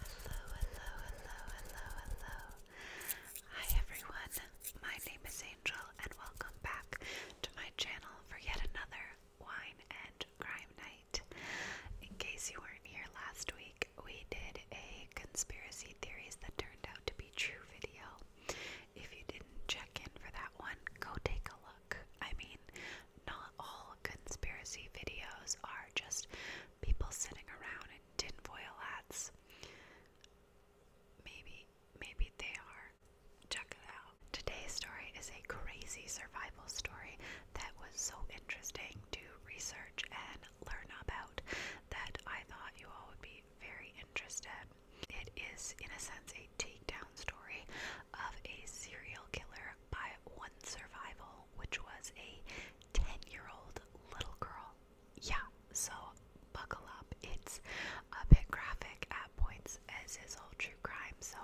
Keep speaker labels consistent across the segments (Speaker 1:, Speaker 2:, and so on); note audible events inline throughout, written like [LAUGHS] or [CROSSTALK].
Speaker 1: Hello, hello, hello, hello, hello. Hi everyone. My name is Angel and welcome back to my channel for yet another wine and crime night. In case you weren't here last week, we did a conspiracy theories that turned out to be true video. If you didn't check in for that one, go take a look. I mean, not all conspiracy videos are just people sitting around in tin foil hats. Maybe, maybe they are. Check it out. Today's story is a crazy survival story that was so interesting to research and learn about that I thought you all would be very interested. It is, in a sense, a takedown story of a serial killer by one survival, which was a 10 year old little girl. Yeah, so buckle up. It's a bit graphic at points, as is all true crime, so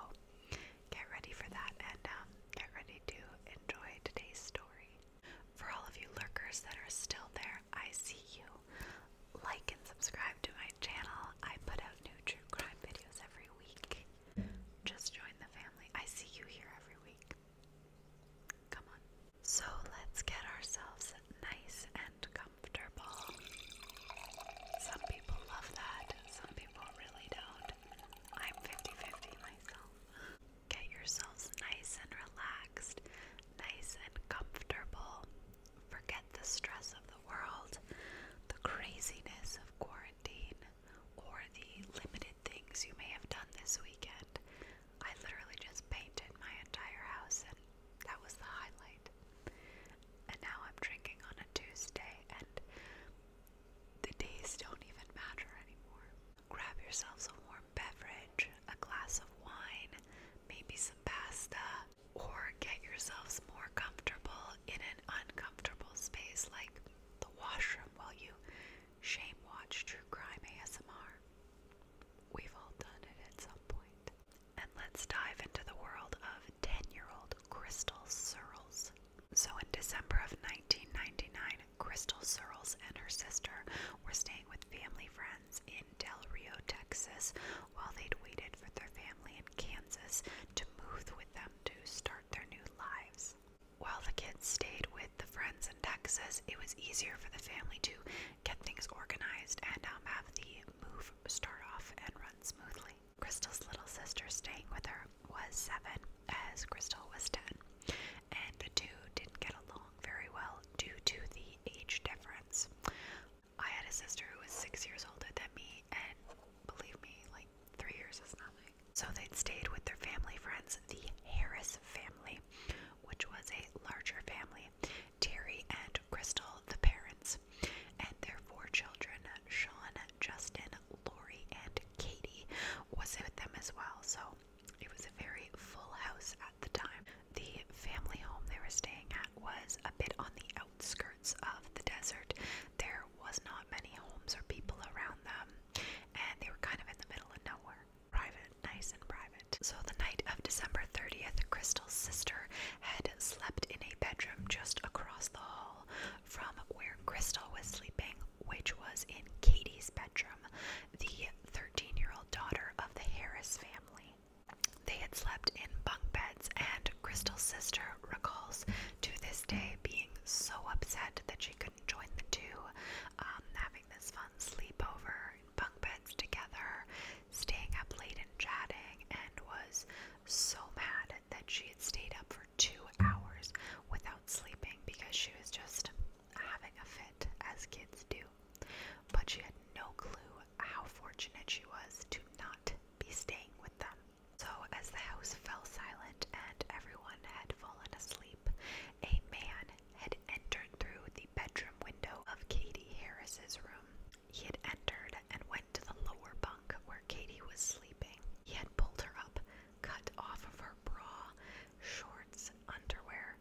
Speaker 1: get ready for that and um, get ready to enjoy today's story. For all of you lurkers that are still there, I see you. Like and subscribe to my channel. I put out new true crime videos every week. Just join the family. I see you here every week. Come on. So let's get ourselves nice and comfortable. Some people love that, some people really don't. I'm 50 50 myself. Get yourselves nice and relaxed, nice and comfortable. Forget the stress of the world, the craziness of quarantine or the limited things you may have done this weekend. I literally just painted my entire house, and that was the highlight. And now I'm drinking on a Tuesday, and the days don't even matter anymore. Grab yourselves a warm beverage, a glass of wine, maybe some pasta, or get yourselves more comfortable in an uncomfortable space like the washroom while you shame watch True Crime ASMR. We've all done it at some point. And let's dive into the world of 10 year old Crystal Searles. So, in December of 1999, Crystal Searles and her sister were staying with family friends in Del Rio, Texas, while they'd waited for their family in Kansas to move with them to start their new lives. While the kids stayed with the friends in Texas, it was easier for the family to get things organized and um, have the move start off and run smoothly. Crystal's little sister staying with her was seven, as Crystal was ten, and the two didn't get along very well due to the age difference. I had a sister who was six years older than me, and believe me, like Three years is nothing. So they'd stayed with their family friends, the Harris family, which was a larger family. Terry and Crystal, the parents, and their four children, Sean, Justin, Lori, and Katie, was with them as well. So it was a very full house at the time. The family home they were staying at was a bit on the outskirts of the desert. There was not many homes or people around them, and they were kind of in the middle of nowhere. Private, nice and private. So the night of December 30th, Crystal's sister had slept in a bedroom just across the hall from where Crystal was sleeping, which was in Katie's bedroom, the 13 year old daughter of the Harris family. They had slept in bunk beds, and Crystal's sister recalls to this day being so upset sad that she couldn't join the two, um, having this fun sleepover in bunk beds together, staying up late and chatting, and was so mad that she had stayed up for two hours without sleeping because she was just having a fit, as kids do. But she had no clue how fortunate she was to not be staying with them. So, as the house fell silent and everyone had fallen asleep, a man had entered through the bedroom window of Katie Harris's room. He had entered and went to the lower bunk where Katie was sleeping. He had pulled her up, cut off of her bra, shorts, underwear,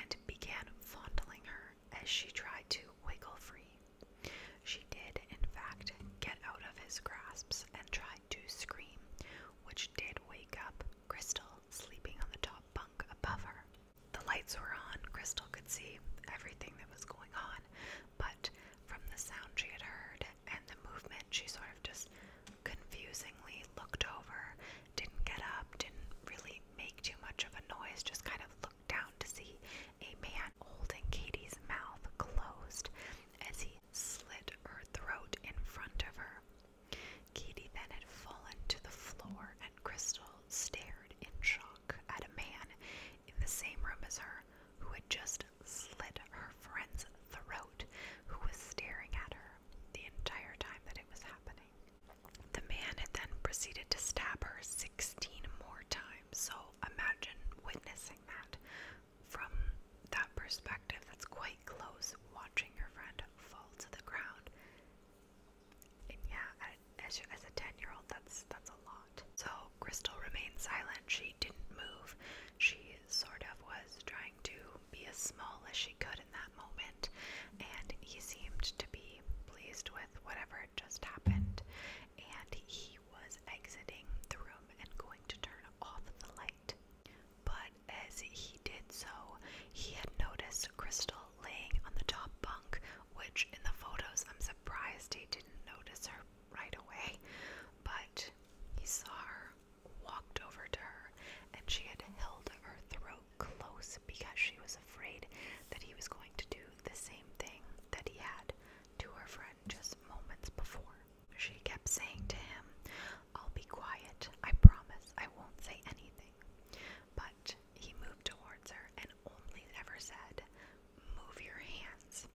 Speaker 1: and began fondling her as she tried to wiggle free. She did, in fact, get out of his grasps and try to scream, which did wake up Crystal, sleeping on the top bunk above her. The lights were on, Crystal could see everything that was going on, but from the sound she had heard and the movement, she sort of just confusingly looked over, didn't get up, didn't really make too much of a noise, just kind of looked down to see a man holding Katie's mouth closed as he slit her throat in front of her. Katy then had fallen to the floor, and Crystal stared in shock at a man in the same room as her who had just slit her friend's throat, who was staring at her the entire time that it was happening. The man had then proceeded to stab her 16 more times, so imagine witnessing that from that perspective, that's quite close, watching your friend fall to the ground. And yeah, as, a 10 year old, that's, that's a lot. So Crystal remained silent. She didn't move. She sort of was trying to be as small as she could in that moment. And he seemed to be pleased with whatever just happened. And he he was exiting the room and going to turn off the light. But as he did so, he had noticed Crystal laying on the top bunk, which in the photos I'm surprised he didn't notice her right away. But he saw her, walked over to her, and she had held her throat close because she was afraid that he was going to do the same thing that he had to her friend just moments before she kept saying to him, I'll be quiet, I promise, I won't say anything. But he moved towards her and only ever said, Move your hands.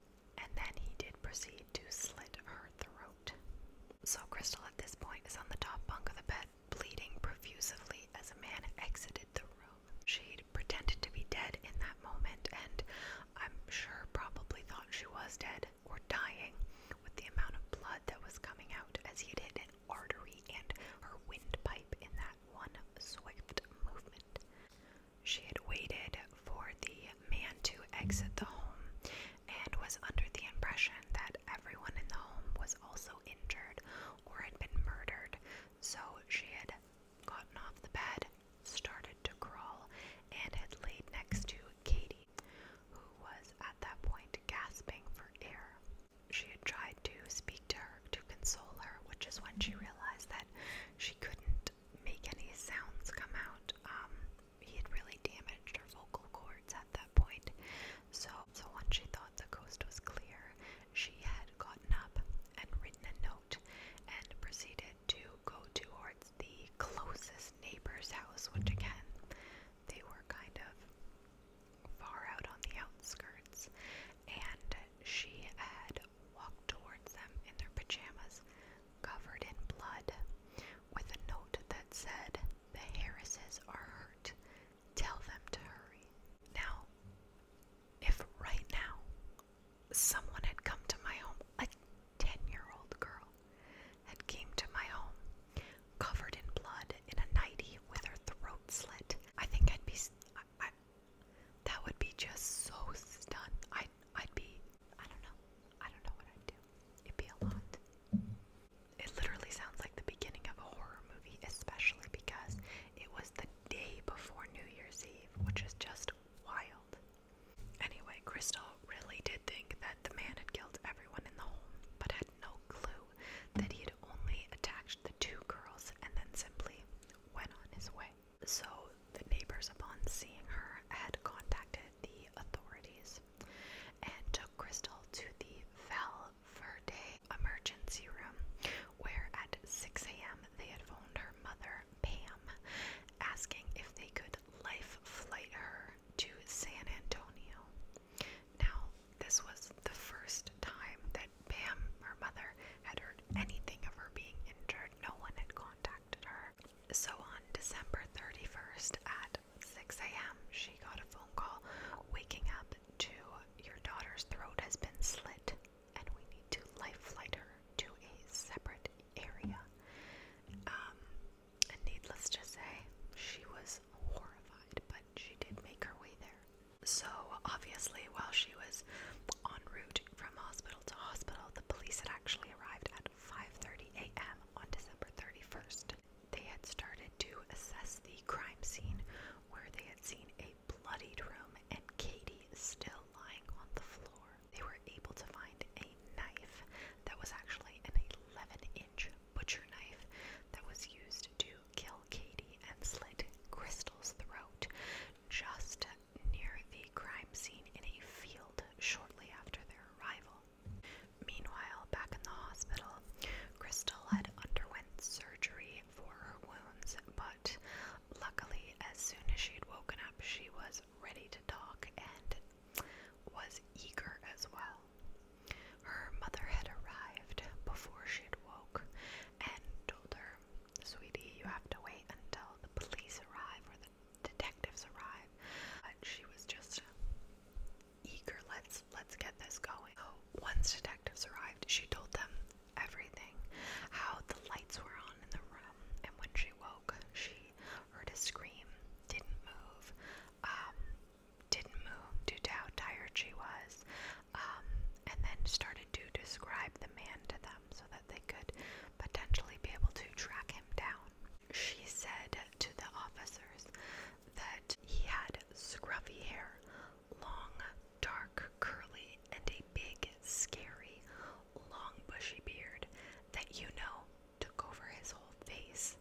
Speaker 1: And then he did proceed to slit her throat. So Crystal at this point is on the top bunk of the bed, bleeding profusively as a man exited the room. She pretended to be dead in that moment and I'm sure probably thought she was dead or dying with the amount of blood that was coming out as he hit an artery and her windpipe in that one swift movement. She had waited for the man to exit the home and was under the impression that everyone in the home was also injured or had been murdered, so she had gotten off the bed, started to crawl, and had laid next to Katie, who was at that point gasping for air. She had tried to speak to her to console her, which is when she realized that she couldn't make any sounds come out. Um, he had really damaged her vocal cords at that point. So, so once she thought the coast was clear, she had gotten up and written a note and proceeded to go towards the closest neighbor's house, which again, they were kind of far out on the outskirts, and she had walked towards them in their pajamas, covered in blood, with a note that said, The Harrises are hurt. Tell them to hurry. Now, if right now someone had come to my home, a 10 year old girl had came to my home covered in blood in a nightie with her throat slit. I think I'd be, I, that would be just so stunned. I'd, I'd be, I don't know, I don't know what I'd do. It'd be a lot. It literally sounds like the beginning of a horror movie, especially because it was the day before New Year's Eve, which is just wild. Anyway, Crystal really did think that the man had killed everyone in the home, but had no clue that he had only attacked the two girls and then simply went on his way. So the neighbors, upon seeing her, had contacted the authorities and took Crystal to the Val Verde emergency room, where at 6 a.m. they had phoned her mother, Pam, asking if they could life flight her to San Antonio. Now, this was the first time that Pam, her mother, had heard anything of her being injured. No one had contacted her. So on December 31st at 6 a.m., she got a phone call waking up to your daughter's throat has been slit and we need to life flight her to a separate area. Um, and needless to say, she was horrified, but she did make her way there. So, obviously, while she was en route from hospital to hospital, the police had actually arrived at 5:30 a.m. on December 31st. They had started to assess the crime scene where they had seen a bloodied room and Katie still lying on the floor they were able to find a knife that was actually an 11 inch butcher knife that was used to kill Katie and slit Crystal's throat just near the crime scene in a field shortly after their arrival. Meanwhile, back in the hospital, Crystal had underwent surgery for her wounds, but Luckily, as soon as she'd woken up, she was ready to talk and was eager as well. Her mother had arrived before she'd woke and told her, Sweetie, you have to wait until the police arrive or the detectives arrive. But she was just eager, let's let's get this going. So once detectives arrived, she told them everything. How the lights were on in the room, and when she woke, she heard a scream, didn't move, um, didn't move due to how tired she was, um, and then started to describe the man to them so that they could potentially be able to track him down. She said to the officers that he had scruffy hair, long, dark, curly, and a big, scary, long bushy beard that you know took over his whole face.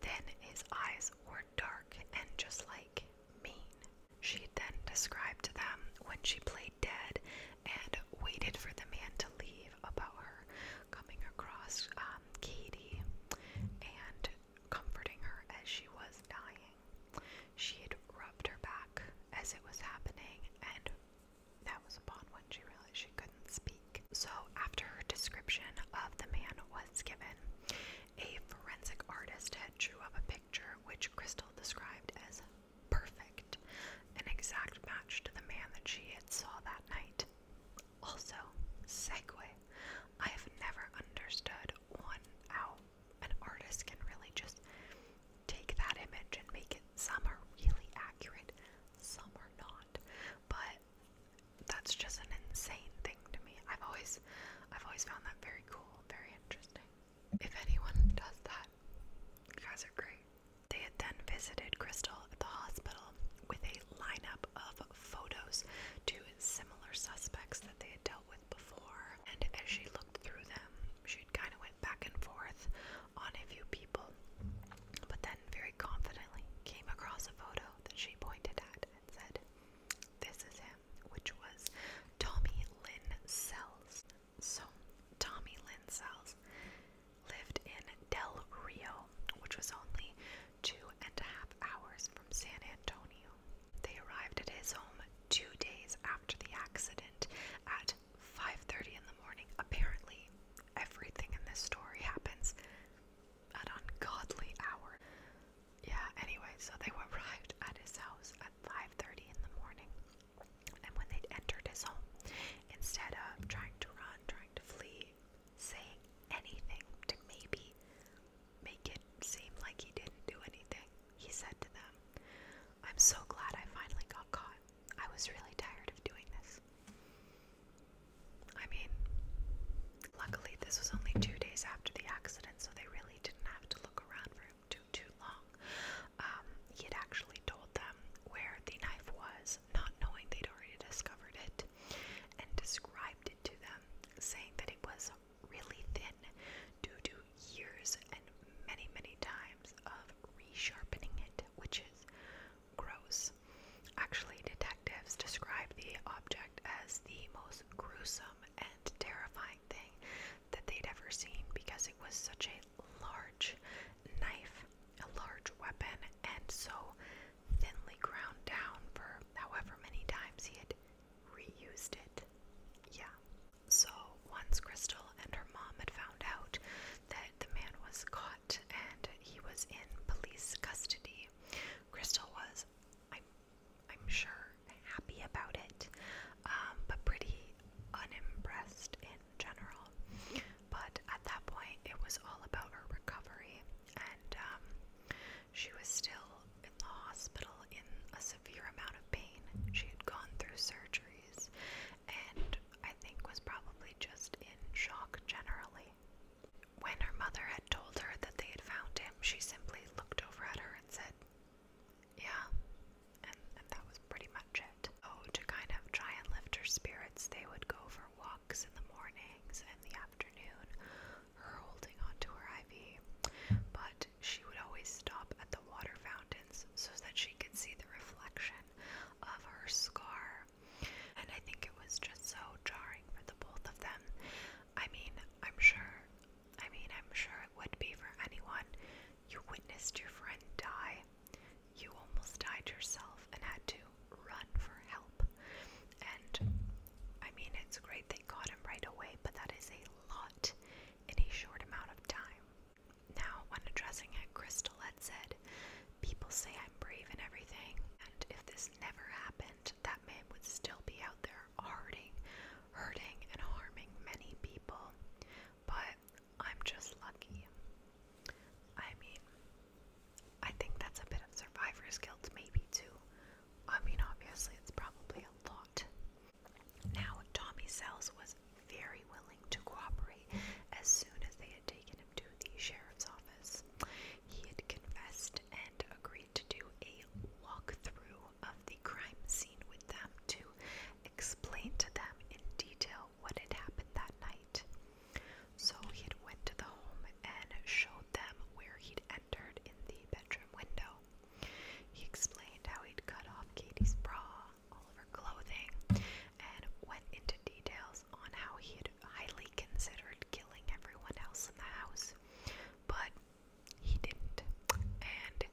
Speaker 1: Then his eyes were dark and just like mean. She then described them when she played dead and waited for the man to leave about her coming across um, Katie and comforting her as she was dying. She had rubbed her back as it was happening, and that was upon when she realized she couldn't speak. So, after her description of the man was given, a forensic artist had drew up a picture which Crystal described as perfect, an exact match to the man that she had saw that night. Also, segue. I have never understood one out an artist can really just take that image and make it some are really accurate, some are not. But that's just an insane thing to me. I've always I've always found that very cool, very interesting. If anyone does that, you guys are great. They had then visited Crystal at the hospital with a lineup of photos to similar suspects that they had dealt with before and as she looked through them, she kind of went back and forth on a few people, but then very confidently came across a photo that she pointed at and said, This is him, which was Tommy Lynn Sells. So, Tommy Lynn Sells lived in Del Rio, which was only two and a half hours from San Antonio. They arrived at his home two days after the accident at 5.30 in the morning. Apparently, everything in this story happens at ungodly hour. Yeah, anyway, so they [LAUGHS] arrived at his house at 5.30 in the morning. And when they entered his home, instead of trying to run, trying to flee, saying anything to maybe make it seem like he didn't do anything, he said to them, I'm so glad I finally got caught. I was really tired of doing this. I mean, luckily, this was only two days after the accident, so they really didn't have to look around for him too, too long. Um, he had actually told them where the knife was, not knowing they'd already discovered it, and described it to them, saying that it was really thin due to years and many, many times of resharpening it, which is gross. Actually, detectives describe the object as the most gruesome and terrifying thing that they'd ever seen because it was such a large knife, a large weapon, and so thinly ground down for however many times he had reused it. Yeah. So once Crystal and her mom had found out that the man was caught and he was in police custody, Crystal was, I'm, I'm sure, happy about it, um, but pretty unimpressed in general. But at that point, it was all about her recovery, and um, she was still in the hospital in a severe amount of pain pain. She had gone through surgeries and I think was probably just in shock generally. When her mother had told her that they had found him, she simply looked over at her and said, Yeah, and, and that was pretty much it. Oh, so to kind of try and lift her spirits, they would go for walks in the mornings and the afternoon, her holding onto her IV. But she would always stop at the water fountains so that she could see the reflection of her scar. And I think it was just so jarring for the both of them. I mean, I'm sure, I mean, I'm sure it would be for anyone. You witnessed your friend die, you almost died yourself and had to run for help. And I mean, it's great they caught him right away, but that is a lot in a short amount of time. Now, when addressing it, Crystal had said, People say I'm brave in everything, and if this never happened, that man would still be out there hurting, hurting, and harming many people. But I'm just lucky. I mean, I think that's a bit of survivor's guilt, maybe, too. I mean, obviously, it's probably a lot. Now, Tommy Sells was very willing to cooperate as soon as they had taken him to the sheriff's office. He had confessed and agreed to do a walkthrough of the crime scene with them to explain to them in detail what had happened that night. So he had went to the home and showed them where he'd entered in the bedroom window. He explained how he'd cut off Katie's bra, all of her clothing, and went into details on how he had highly considered killing everyone else in the house, but he didn't. And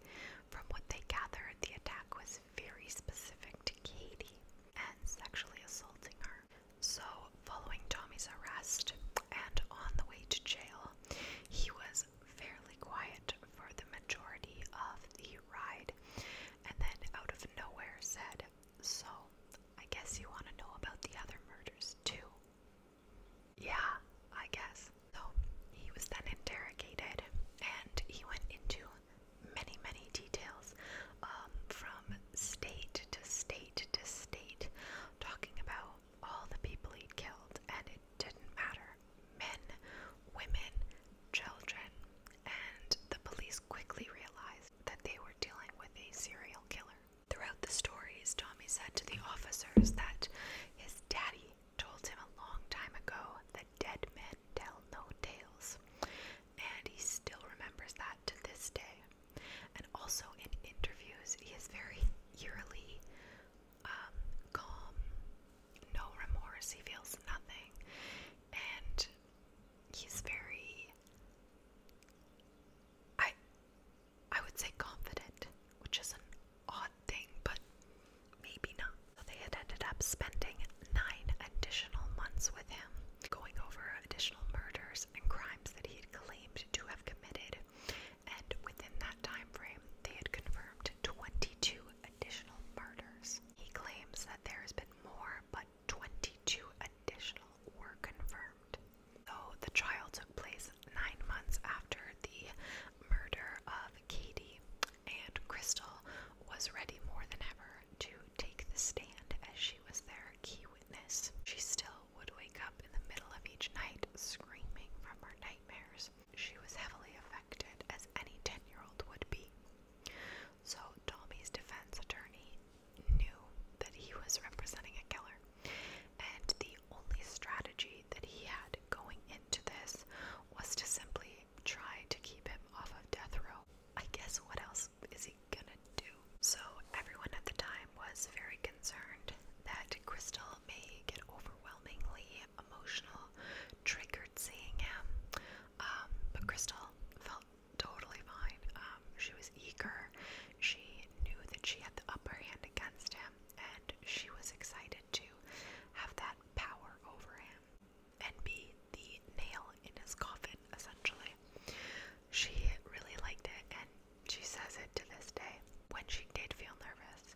Speaker 1: from what they gathered, the attack was very specific to Katie and sexually assaulting her. So, following Tommy's arrest and on the way to jail, he was was fairly quiet for the majority of the ride, and then out of nowhere said, So, I guess you want to know about the other murders too. Yeah, I guess. So, he was then interrogated, and he went into many, many details um, from state to state to state, talking about all the people he'd killed, and it didn't matter men, women, children, and the police quickly realized that they were dealing with a serial killer. Throughout the stories, Tommy said to the officers that his daddy told him a long time ago that dead men tell no tales, and he still remembers that to this day. And also in interviews, he is very eerily um, calm, no remorse, he feels nothing, and he's very, I, I would say confident, which is an odd thing, but maybe not. So they had ended up spending nine additional months with him, going over additional murders and crimes that he had claimed to have committed, and within that time frame, they had confirmed 22 additional murders. He claims that there has been more, but 22 additional were confirmed. So the trial took place nine months after the murder of Katie, and Crystal was ready more than ever to take the stand as she was their key witness. She still would wake up in the middle of each night screaming from her nightmares she was heavily affected, as any 10 year old would be. So, Tommy's defense attorney knew that he was representing a killer, and the only strategy that he had going into this was to simply try to keep him off of death row. I guess what else is he gonna do? So, everyone at the time was very concerned that Crystal people may get overwhelmingly emotional, triggered seeing him. Um, but Crystal felt totally fine. Um, she was eager. She knew that she had the upper hand against him, and she was excited to have that power over him and be the nail in his coffin, essentially. She really liked it, and she says it to this day. When she did feel nervous,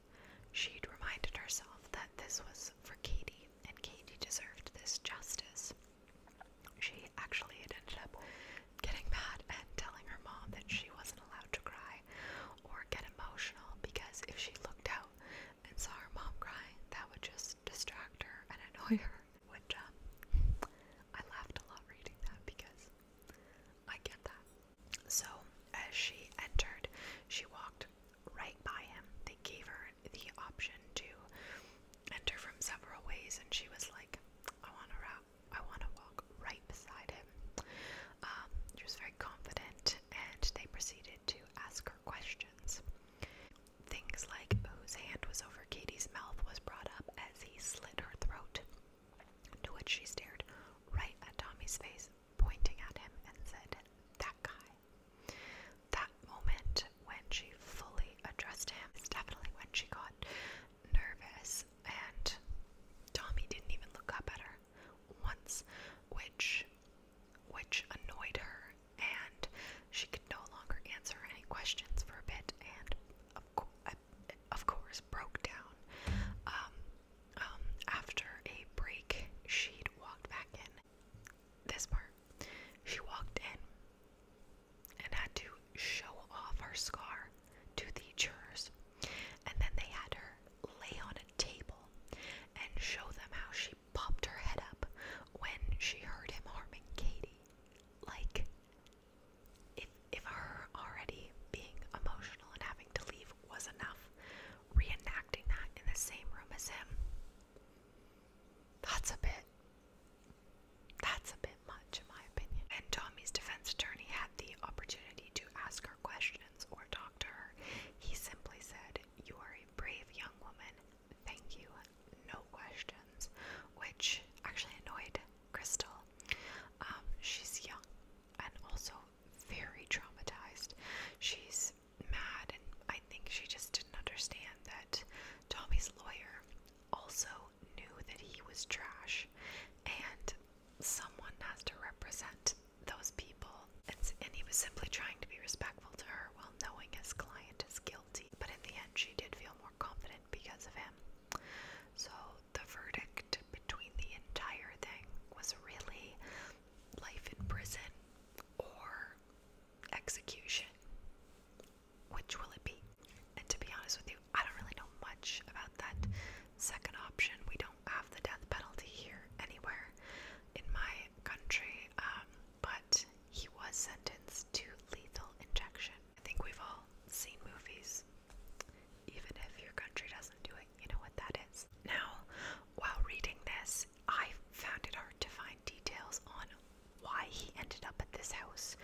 Speaker 1: She'd reminded herself that this was for Katie, and Katie deserved this justice. She actually had ended up getting mad and telling her mom that she wasn't allowed to cry or get emotional because if she looked out and saw her mom crying, that would just distract her and annoy her. Which um, I laughed a lot reading that because I get that. So, as she entered, she walked right by him. They gave her the option to enter from several ways, and she was like, I want to walk right beside him. Um, she was very confident, and they proceeded to ask her questions. Things like whose hand was over Katie's mouth was brought up as he slit her throat, to which she stared right at Tommy's face, pointing at him, and said, That guy. That moment when she fully addressed him is definitely when she got nervous, and Tommy didn't even look up at her once, which which annoyed her, and she could no longer answer any questions for a bit, and of, course broke down. Um, um, after a break, she'd walked back in. This part. She walked in and had to show off her scar to the jurors. And then they had her lay on a table and show them how she popped her head up when she heard him harming Katie. Like, if, if her already being emotional and having to leave believe was enough, reenacting that in the same room as him. That's a bit. That's a bit much, in my opinion. And Tommy's defense attorney had the opportunity to ask her questions or talk to her. He simply said, You are a brave young woman. Thank you. No questions. Which actually annoyed Crystal. Um, she's young and also very traumatized. She's mad, and I think she just didn't understand that Tommy's lawyer also knew that he was trash, and someone has to represent those people. And, he was simply trying to be respectful to her while knowing his client is guilty. But in the end, she did feel more confident because of him. So the verdict between the entire thing was really life in prison or execution. Which will it be? And to be honest with you, I don't really know much about that second option. We don't have the death penalty here anywhere in my country, um, but he was sentenced to lethal injection. I think we've all seen movies even if your country doesn't do it. You know what that is. Now, while reading this, I found it hard to find details on why he ended up at this house.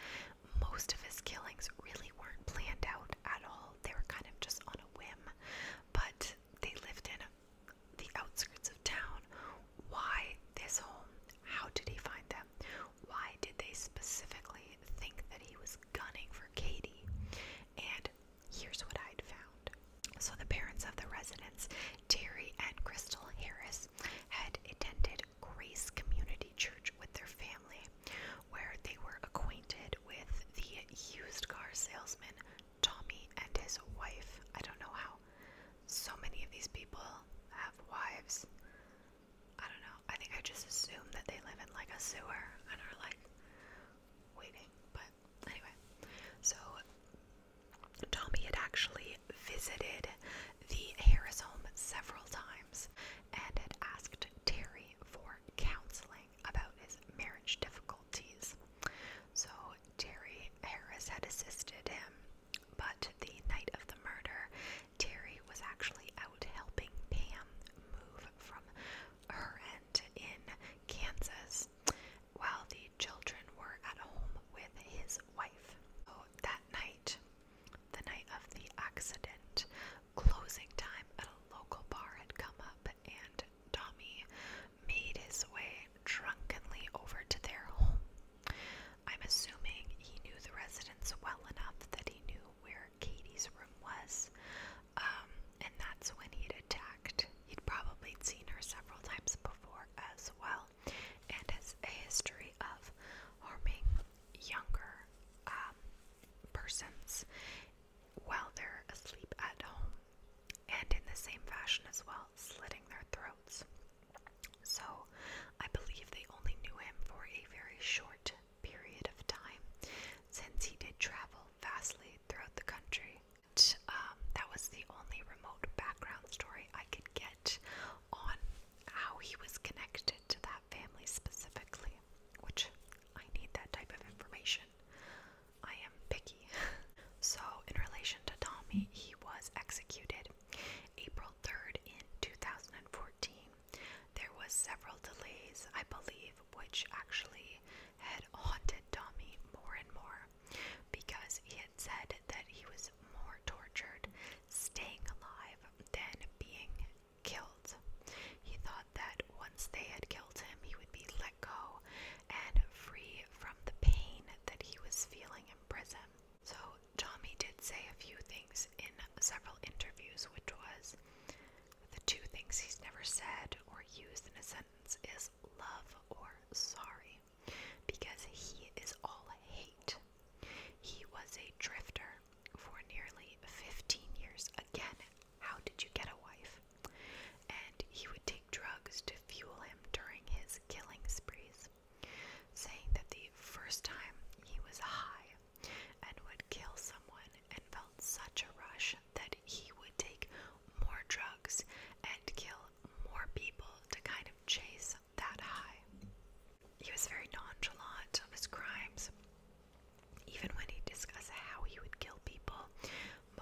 Speaker 1: Most of his killings really weren't planned out at all, they were kind of just on a whim, but they lived in the outskirts of town. Why this home? How did he find them? Why did they specifically think that he was gunning for Katie. And here's what I'd found. So, the parents of the residents, Terry and Crystal Harris, had attended Grace Community Church with their family, where they were acquainted with the used car salesman Tommy and his wife. I don't know how so many of these people have wives. I don't know. I think I just assumed that they live in like a sewer and are like waiting. But anyway, so Tommy had actually visited the Harris home several times and had asked Terry for counseling about his marriage difficulties. So Terry Harris had assisted him, but the night of the murder, Terry was actually out helping Pam move from her end in Kansas while the children were at home with his wife. So that night, the night of the accident, closing time at a local bar had come up and Tommy made his way drunkenly over to their home. I'm assuming he knew the residents well enough that he knew where Katie's room was, um, and that's when he'd attacked. He'd probably seen her several times before as well, and has a history of harming younger um, persons while they're asleep at home, and in the same fashion as well, slitting their throats. So, I believe they only knew him for a very short period of time since he did travel vastly throughout the country. And, um, that was the only remote background story I could get on how he was connected to that family specifically, which I need that type of information. I am picky. [LAUGHS] so, in relation to Tommy, he was executed April 3rd in 2014 there was several delays, I believe, which actually had haunted Tommy more and more because he had said that he was more tortured staying alive than being killed. He thought that once they had killed him, he would be let go and free from the pain that he was feeling in prison. So, Tommy did say a few things in several interviews, which was the two things he's never said or used in a sentence is love or sorry, because he is all hate. He was a drifter for nearly 15 years. Again, how did you get a wife? And he would take drugs to fuel him during his killing sprees, saying that the first time he was high, and would kill someone and felt such a rush that he would take more drugs and kill more people to kind of chase that high. He was very nonchalant of his crimes, even when he discussed how he would kill people,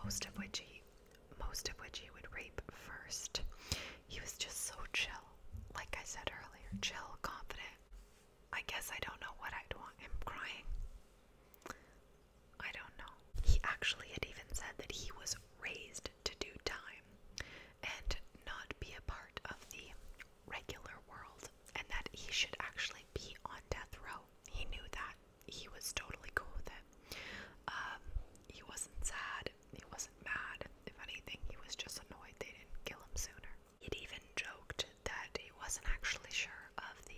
Speaker 1: most of which he most of which he would rape first. He was just so chill, like I said earlier, chill, confident, I guess I don't know what I'd want him crying. I don't know. He actually had even said that he was raised to do time and not be a part of the regular world and that he should actually be on death row. He knew that. He was totally cool with it. Um, he wasn't sad. He wasn't mad. If anything, he was just annoyed they didn't kill him sooner. He'd even joked that he wasn't actually sure of the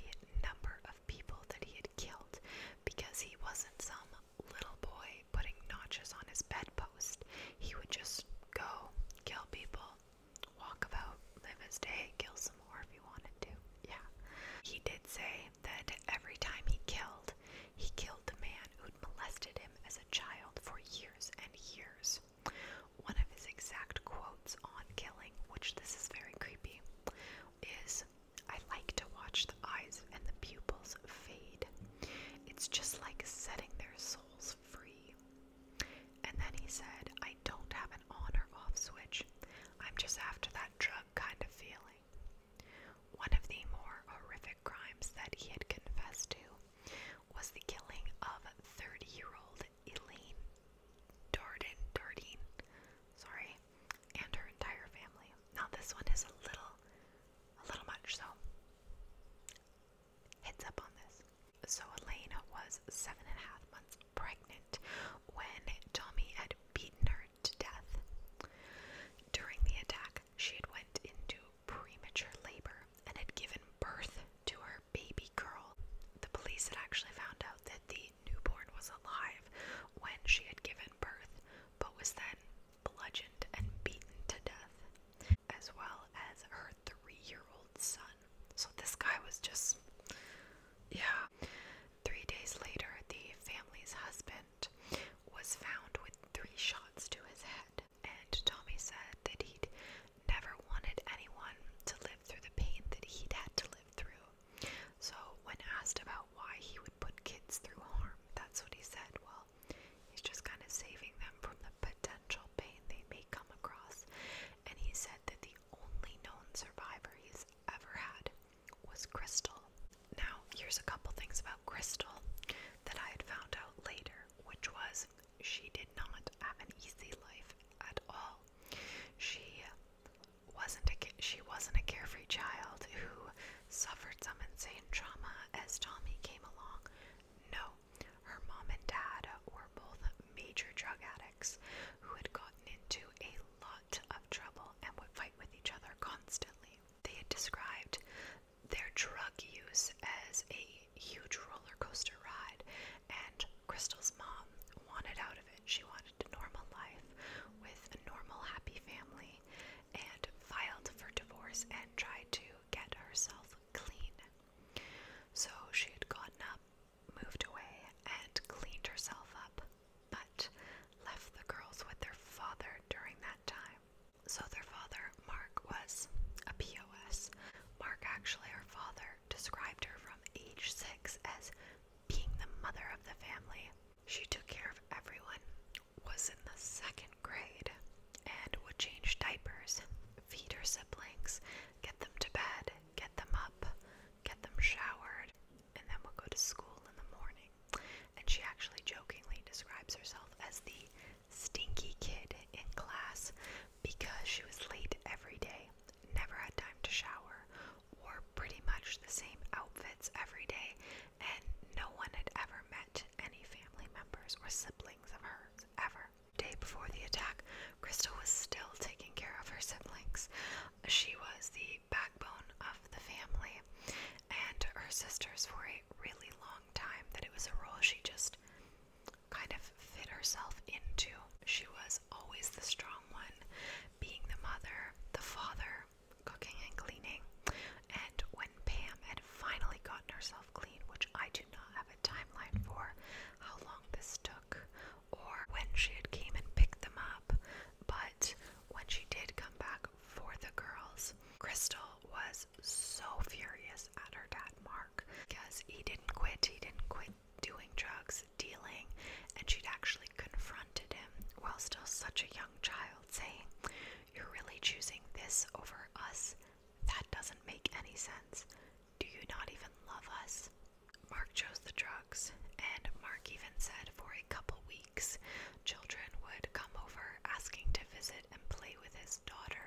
Speaker 1: number of people that he had killed because he wasn't some little boy putting notches on his bedpost. He would just go kill people, walk about, live his day, kill some more if he wanted to. Yeah. He did say that every time he killed, he killed the man who'd molested him as a child for years and years. One of his exact quotes on killing, which this is very creepy, is I like to watch the eyes and the pupils fade. It's just like setting their souls free. And then he said, I don't have an on or off switch. I'm just after that drug kind of feeling. One of the more horrific crimes that he had confessed to was the killing of 30-year-old Elaine Darden, Dardine, sorry, and her entire family. Now this one is a little, a little much, so heads up on this. So Elaine was seven and a half months pregnant when Tommy had beaten her to death. During the attack, she had went into premature labor and had given birth to her baby girl. The police had actually found out that the newborn was alive when she had given birth, but was then bludgeoned and beaten to death, as well as her three year old son. So this guy was just. Yeah. Three days later, the family's husband was found with three shots to his head and Tommy said that he'd never wanted anyone to live through the pain that he'd had to live through. So, when asked about why he would put kids through harm, that's what he said. Well, he's just kind of saving them from the potential pain they may come across. And he said that the only known survivor he's ever had was Crystal. Now, here's a couple things about Crystal that I had found out later, which was she did not have an easy life at all. She wasn't a she wasn't a carefree child who suffered some insane trauma as Tommy came along. No, her mom and dad were both major drug addicts who had gotten into a lot of trouble and would fight with each other constantly. They had described their drug use as a huge roller coaster ride, and Crystal's mom wanted out of it. She wanted a normal life with a normal, happy family, and filed for divorce and tried to get herself clean. So she had gotten up, moved away, and cleaned herself up, but left the girls with their father during that time. So their father, Mark, was a POS. Mark, actually, her father, described her from age six as being the mother of the family. She took care of everyone, was in the second grade, and would change diapers, feed her siblings, get them to bed, get them up, get them showered, and then we'll go to school in the morning. And she actually jokingly describes herself as the stinky kid in class because she was late every day, never had time to shower, wore pretty much the same outfits every day, and no one had ever met any family members or siblings of hers ever. day before the attack, Crystal was still taking care of her siblings. She was the backbone of the family, and her sisters for a really long time that it was a role she just kind of fit herself into. She was always the strong one, being the mother, the father, cooking and cleaning. And when Pam had finally gotten herself clean, which I do not have a timeline for how long this took or when she had came and picked them up, but when she did come back for the girls, Crystal was so furious at her dad Mark Mark because he didn't quit. He didn't quit doing drugs, dealing, and she'd actually confronted him while still such a young child, saying, You're really choosing this over us? That doesn't make any sense. Do you not even love us? Mark chose the drugs, and Mark even said for a couple weeks, children would come over asking to visit and play with his daughter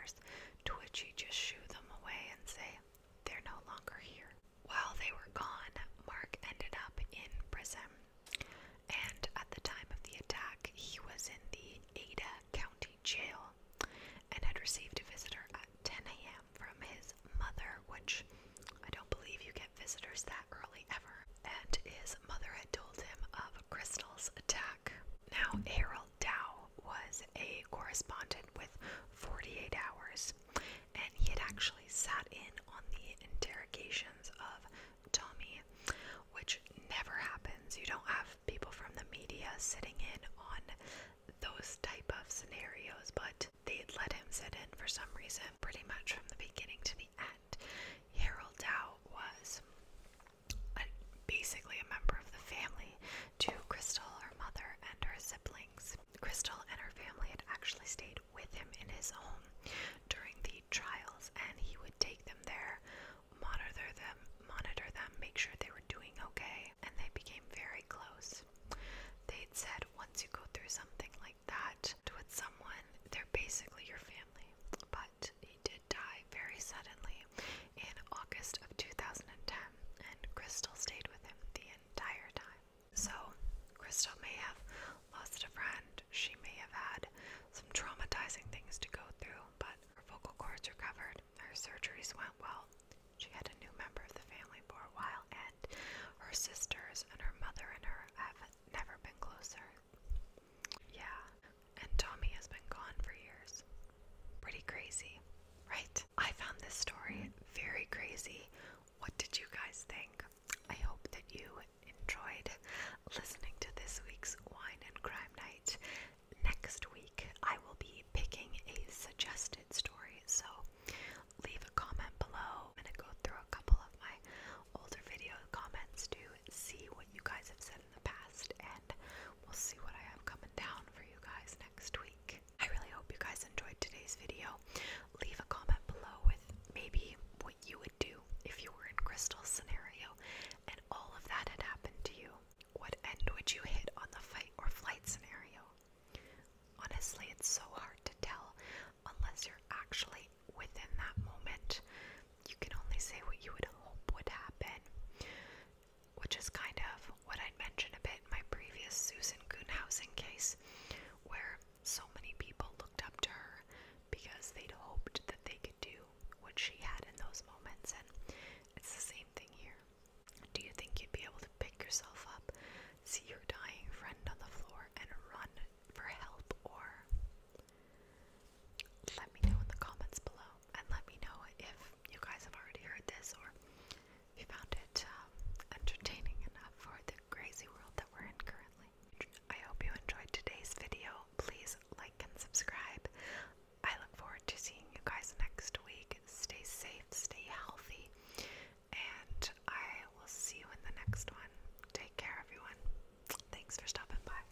Speaker 1: Twitchy just shoo them away and say, They're no longer here. While they were gone, Mark ended up in prison. And at the time of the attack, he was in the Ada County Jail and had received a visitor at 10 a.m. from his mother, which I don't believe you get visitors that early ever. And his mother had told him of crystals attack. Now, Harold Dow was a correspondent with 48 Hours, and he had actually sat in on the interrogations of Tommy, which never happens. You don't have people from the media sitting in on those type of scenarios, but they had let him sit in for some reason pretty much from the beginning to the end. Harold Dow was a, basically a member of the family to Crystal, her mother, and her siblings. Crystal and her family had actually stayed with him in his home during the trials, and he would take them there, monitor them, monitor them, make sure they were doing okay, and they became very close. They'd said once you go through something like that with someone, they're basically your family. But he did die very suddenly in August of 2010, and Crystal stayed with him the entire time. So, Crystal may have lost a friend, she may have had some traumatizing things to go through, but her vocal cords recovered, her surgeries went well. She had a new member of the family for a while, and her sisters and her mother and her have never been closer. Yeah, and Tommy has been gone for years. Pretty crazy, right? I found this story very crazy. What did you guys think? I hope that you enjoyed listening to this week's Wine and Crime Night. Next week, I will be picking a suggested story, so leave a comment below. I'm going to go through a couple of my older video comments to see what you guys have said the past, and we'll see what I have coming down for you guys next week. I really hope you guys enjoyed today's video. Leave a comment below with maybe what you would do if you were in Crystal's scenario and all of that had happened to you. What end would you hit on the fight or flight scenario? Honestly, it's so hard to tell unless you're actually within that moment you can only say what you would hope would happen, which is kind of what I mentioned a bit in my previous Susan Gunhausen case, where so many people looked up to her because they'd hoped that they could do what she had in those moments, and it's the same thing here. Do you think you'd be able to pick yourself up, see your dying friend on the floor, and run for help or let me know in the comments below, and let me know if you guys have already heard this or if you found it um, entertaining enough for the crazy world that we're in currently. I hope you enjoyed today's video. Please like and subscribe. I look forward to seeing you guys next week. Stay safe, stay healthy, and I will see you in the next one. Take care, everyone. Thanks for stopping by.